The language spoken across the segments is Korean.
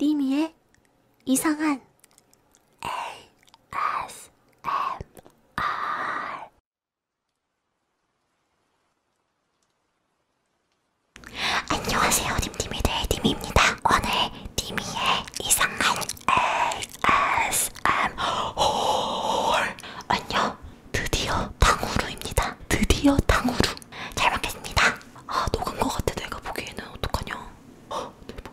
니미의 이상한 ASMR 안녕하세요 님님이들 님입니다 오늘 니미의 이상한 ASMR 안녕 드디어 탕후루입니다 드디어 탕후루 잘 먹겠습니다 아 녹은 거 같아 내가 보기에는 어떡하냐 헉, 대박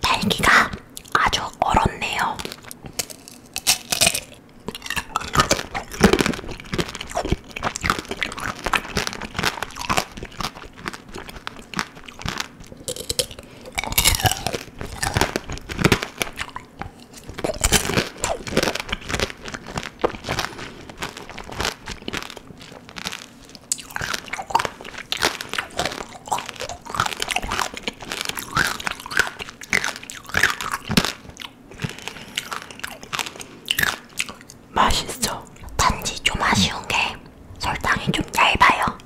딸기가 아주 얼었네요. 맛있어. 단지 좀 아쉬운 게 설탕이 좀 얇아요.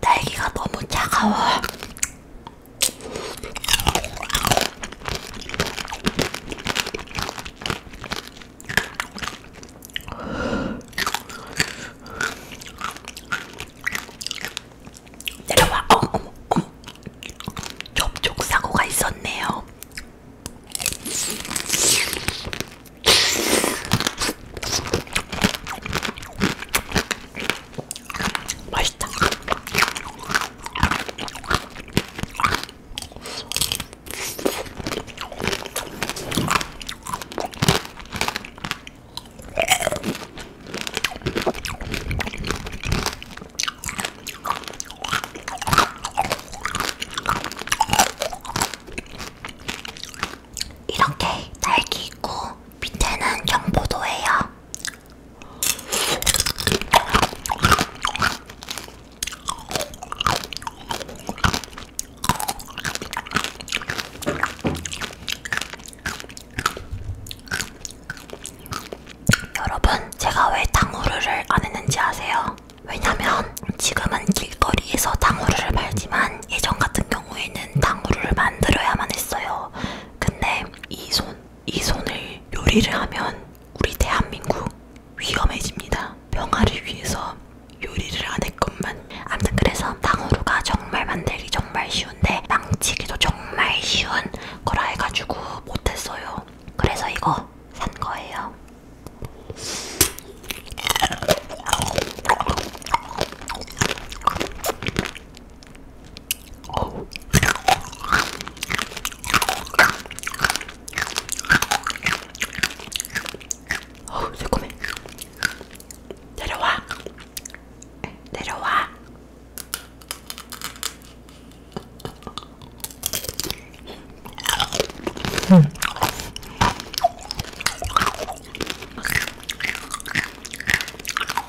딸기가 너무 차가워. 내려와 어머 어머 어머 접촉 사고가 있었네요. 맛있다. 이렇게 딸기 있고 밑에는 경포도예요. 여러분, 제가 왜 당후루를 안 했는지 아세요? 왜냐면 지금은 길거리에서 당후루를 팔지만 예전 같은 경우에는 당후루를 만들어야만 했어요. 근데 이 손, 이 손을 요리를 하면 우리 대한민국 위험해집니다. 평화를 위해서 요리를 안 했건만. 아무튼 그래서 당후루가 정말 만들기 정말 쉬운데 망치기도 정말 쉬운 거라 해가지고 못했어요. 그래서 이거 산 거예요. 어우 새콤해 내려와 내려와 음.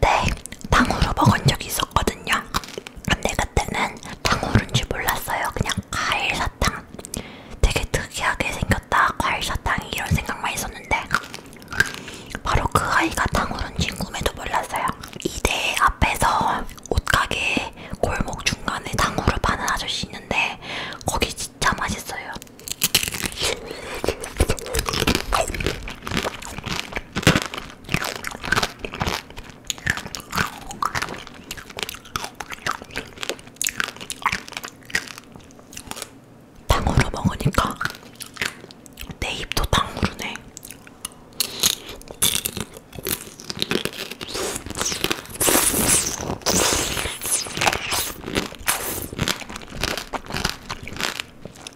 때 탕후루 먹은 적이 있었거든요. 근데 그때는 탕후루인지 몰랐어요. 그냥 과일 사탕. 되게 특이하게 생겼다. 과일 사탕이 이런 생각만 있었는데 바로 그 아이가 탕후루인지 꿈에도 몰랐어요. 이대 앞에서 옷가게 골목 중간에 탕후루 파는 아저씨 있는데 거기 진짜 맛있어요. 탕후루 먹으니까 내 입도 탕후루네.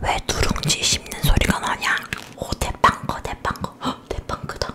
왜 누룽지 씹는 소리가 나냐? 오 대빵거 대빵거 헉, 대빵거다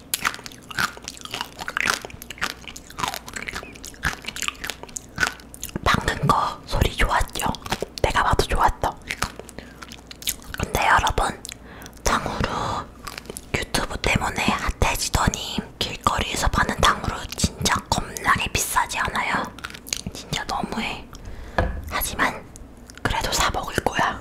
박는 거 소리 좋았죠? 내가 봐도 좋았어. 근데 여러분, 탕후루 유튜브 때문에 핫해지더니 길거리에서 파는 탕후루 진짜 겁나게 비싸지 않아요? 진짜 너무해. 하지만 그래도 사먹을 거야.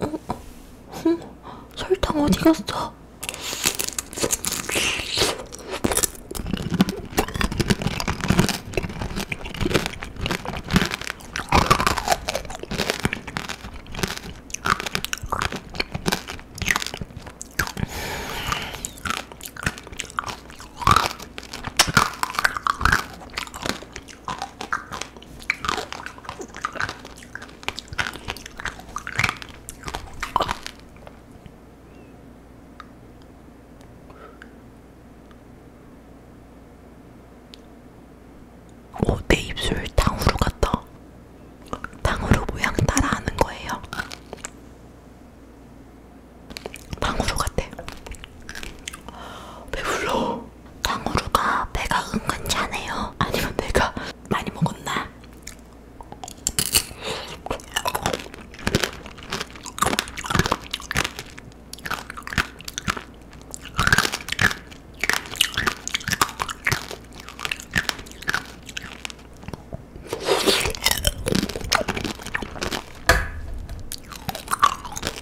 어? 어? 설탕 어디 갔어? 오, 내 입술 탕후루 같다. 탕후루 모양 따라하는 거예요. 탕후루 같아. 배불러. 그리고 당후루가 배가 은근 차네요. 아니면 내가 많이 먹었나?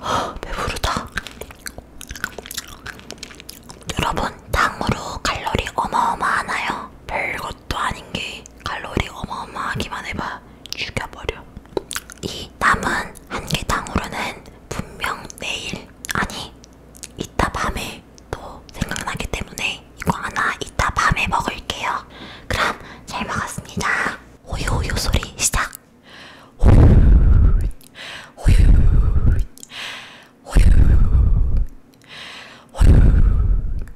아, 배부르다. 여러분, 당으로 칼로리 어마어마하나요? 별거 것도 아닌 게 칼로리 어마어마하기만 해봐 죽여버려. 이 남은 한 개탕후루는 분명 내일 아니 이따 밤에 또 생각나기 때문에 이거 하나 이따 밤에 먹을게요. 그럼 잘 먹었습니다. 호요호요 소리 시작. 호요호요 호요호요 호요호요 호요호요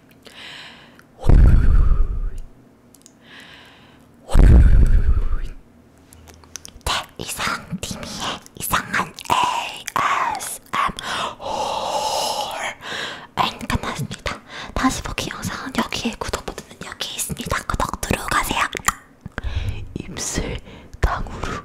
네, 이상 팀이의 이상한 ASMR 앤 끝났습니다. 다시 보기 영상은 여기에 구독 버튼은 여기 있습니다. 구독 누르고 가세요. 입술 강우루